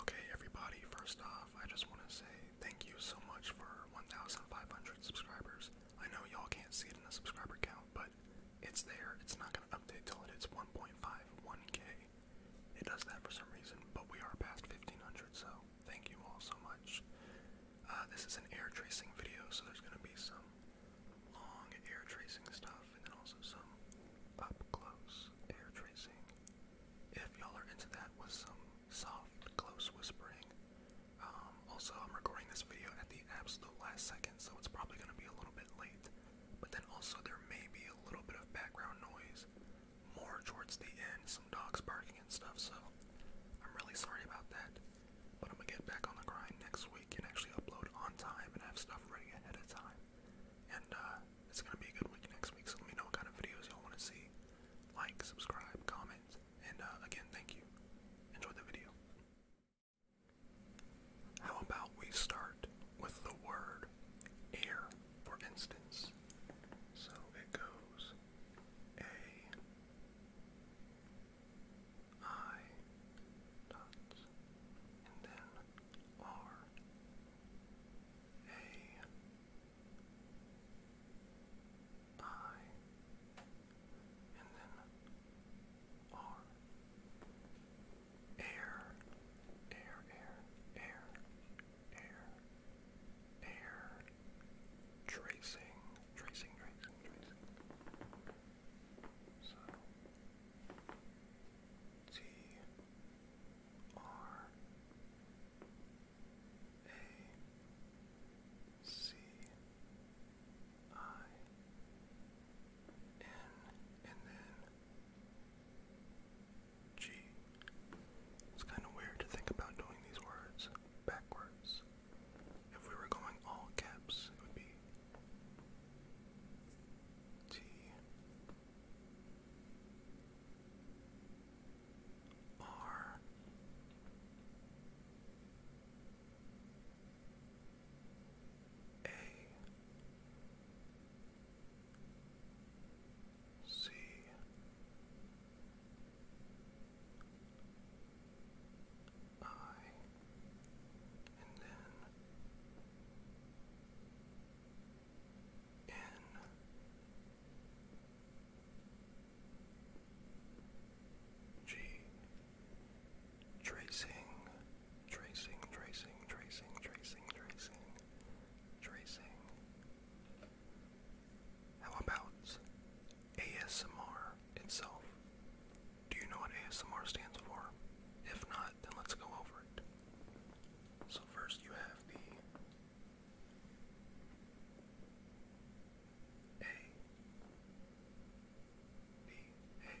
Okay, everybody, first off, I just want to say thank you so much for 1,500 subscribers. I know y'all can't see it in the subscriber count, but it's there. It's not going to update till it hits 1.51k. It does that for some reason, but we are past 1,500, so thank you all so much. Uh, this is an air tracing video, so there's going to be some long air tracing stuff and then also some up close air tracing. If y'all are into that with some soft, close whispering. Um, also, I'm recording this video at the absolute last second, so it's probably going to be a little bit late. But then also, there may be a little bit of background noise more towards the end, some dogs barking and stuff, so I'm really sorry about that. But I'm going to get back on the grind next week and actually upload on time and have stuff ready ahead of time. And uh, it's gonna be a good week next week. So let me know what kind of videos y'all want to see. Like, subscribe, comment, and uh, again, thank you. Enjoy the video. How about we start with the word air, for instance? So it goes A I dot and then R a, I, and then R. Air, air, air, air, air, air, tracing, tracing, tracing, tracing. So, T. R A C I N and then G. It's kind of weird to think about doing these words backwards. If we were going all caps, it would be T R A C I and then in. Tracing, tracing, tracing, tracing, tracing, tracing, tracing. How about ASMR itself? Do you know what ASMR stands for? If not, then let's go over it. So first you have the A B A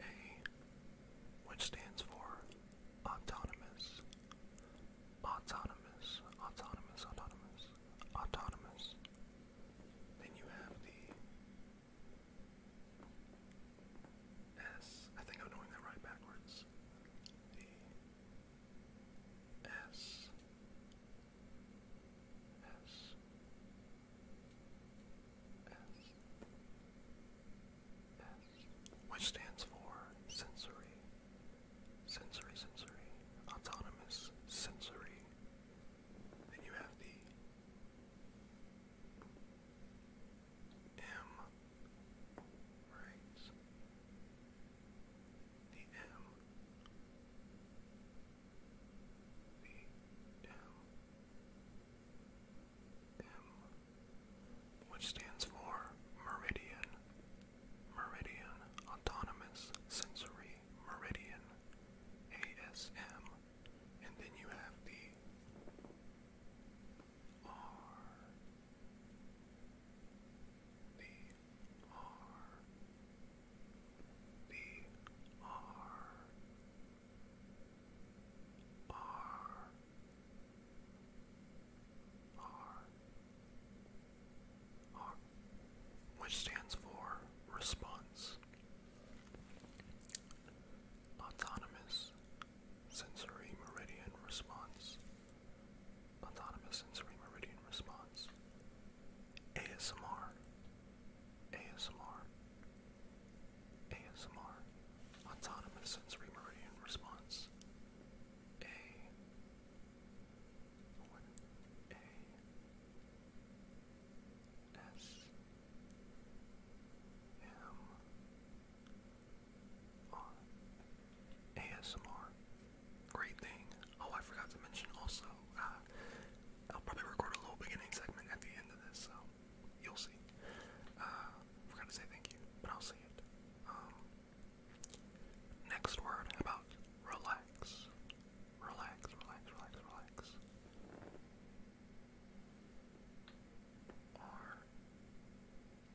A which stands for autonomous autonomous autonomous autonomous autonomous. Then you have the S. I think I'm doing that right backwards. D. S. S. S. S. Which stands for sensory, sensory, sensory, autonomous, sensory, then you have the M, right? The M, the M, M, which stands for Meridian, Meridian Autonomous Sensory Meridian, ASM and then you have the R, the R, the R, R, R, R, which stands for response. Autonomous sensory meridian response. Autonomous sensory meridian response. ASMR. ASMR. ASMR. Autonomous sensory meridian response. A. A. S M R Great thing. Oh, I forgot to mention also, uh, I'll probably record a little beginning segment at the end of this, so you'll see. Uh, forgot to say thank you, but I'll see it. Um, next word about relax. Relax, relax, relax, relax. R.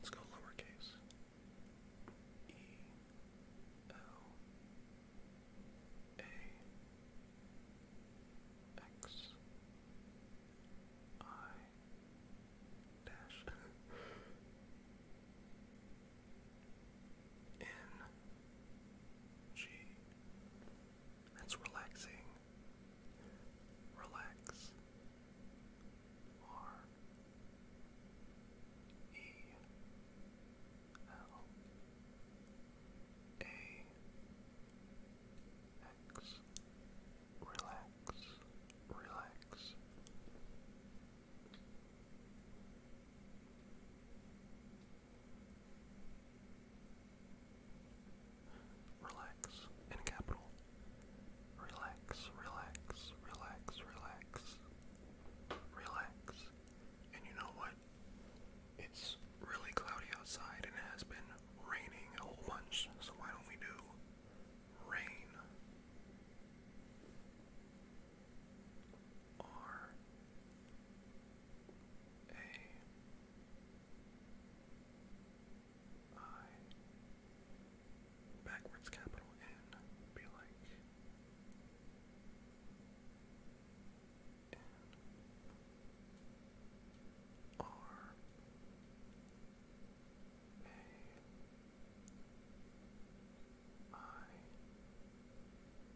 Let's go lowercase. E. L. A. X. I. Dash. N G. That's relaxing. Relax. R E L A X. Relax. Relax. Relax in capital. Relax, relax, relax, relax, relax. And you know what? It's really cloudy outside and it has been raining a whole bunch, so why don't we do rain? R A I backwards capital N be like N R A I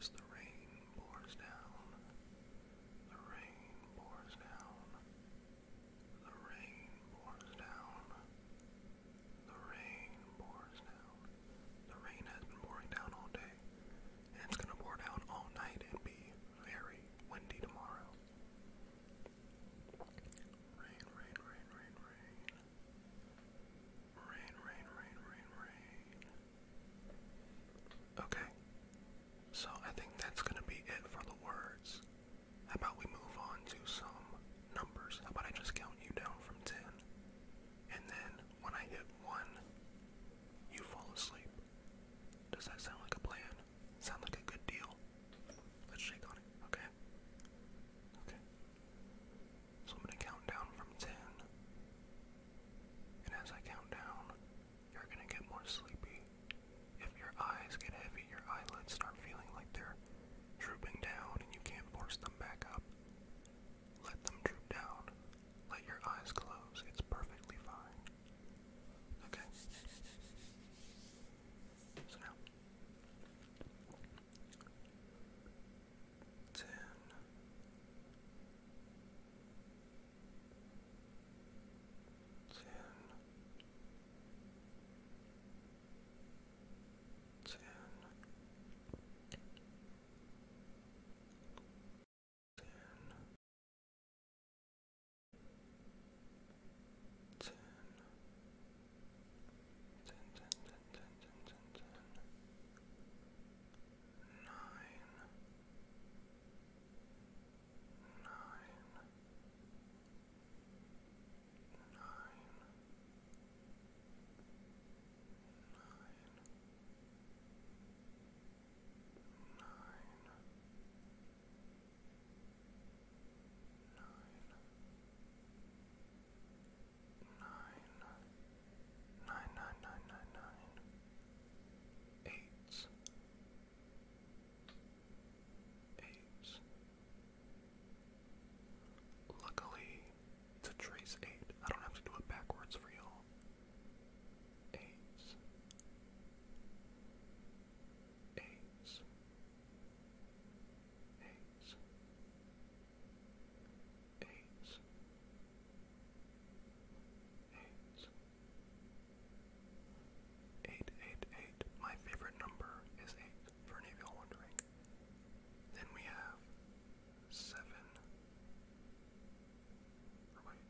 as the rain pours down. The rain pours down. The rain pours down. The rain pours down. The rain has been pouring down all day, and it's gonna pour down all night and be very windy tomorrow. Rain, rain, rain, rain, rain. Rain, rain, rain, rain, rain. Okay. So I think that's going to be it for the words. How about we move on to some numbers? How about I just count you down from 10? And then when I hit 1, you fall asleep. Does that sound like a plan? Sound like a good deal? Let's shake on it, okay? Okay. So I'm going to count down from 10. And as I count down, you're going to get more sleepy. If your eyes get heavy, your eyelids start feeling like they're drooping down and you can't force them back up. Let them droop down. Let your eyes close. It's perfectly fine. Okay? So now, ten. Ten, ten, ten, ten, ten, ten, ten, ten, ten, ten, ten, nine, nine, nine, nine. Nine, nine, nine, nine, nine, nine, nine, nine, nine, eight, eight. Luckily, to trace eight, I don't have to do it backwards for y'all. eight, eight, My favorite number is eight for any of y'all wondering. Then we have seven. wait,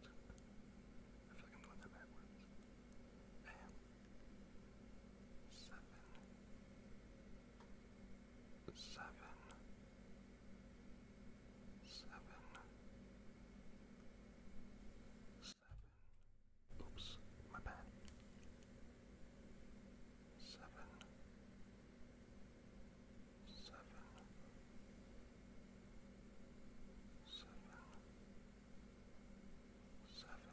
I feel like I'm doing backwards. I Seven. Oops, my bad. Seven, seven, seven, seven.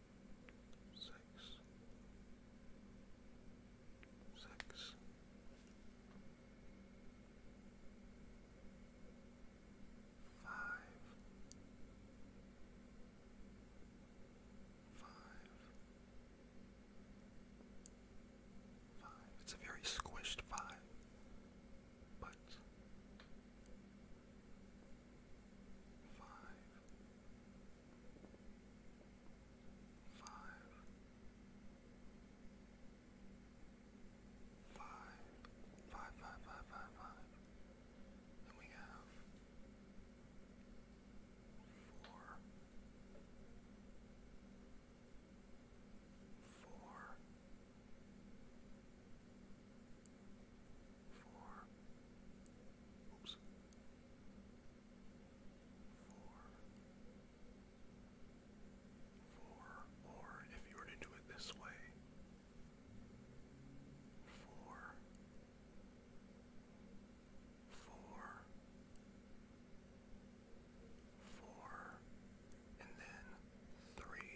six, six. Five, five, five. It's a very squished five, but five, five, five, five, five, five, five, five. And we have four, four, four, oops, four, four, or if you were to do it this way, four, four, four, and then three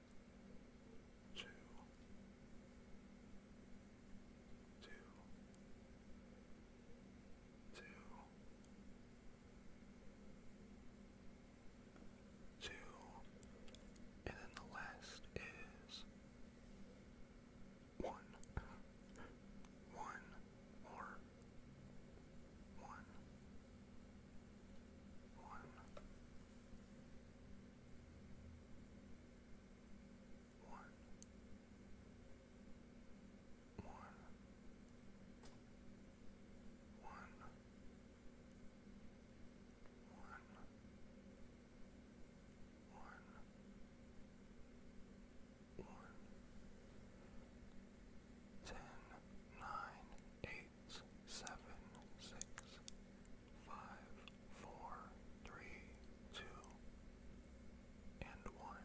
two, two, two, two, and then the last is one, one, one, one, one, one, one, ten, nine, eight eight seven six five four three two and one.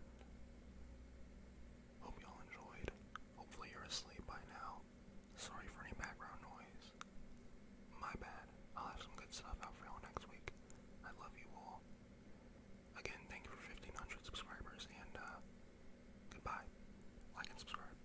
Hope y'all enjoyed. Hopefully you're asleep by now. Sorry for any background noise. My bad. I'll have some good stuff out for y'all next week. I love you all. Again, thank you for 1500 subscribers and uh, goodbye. Like and subscribe.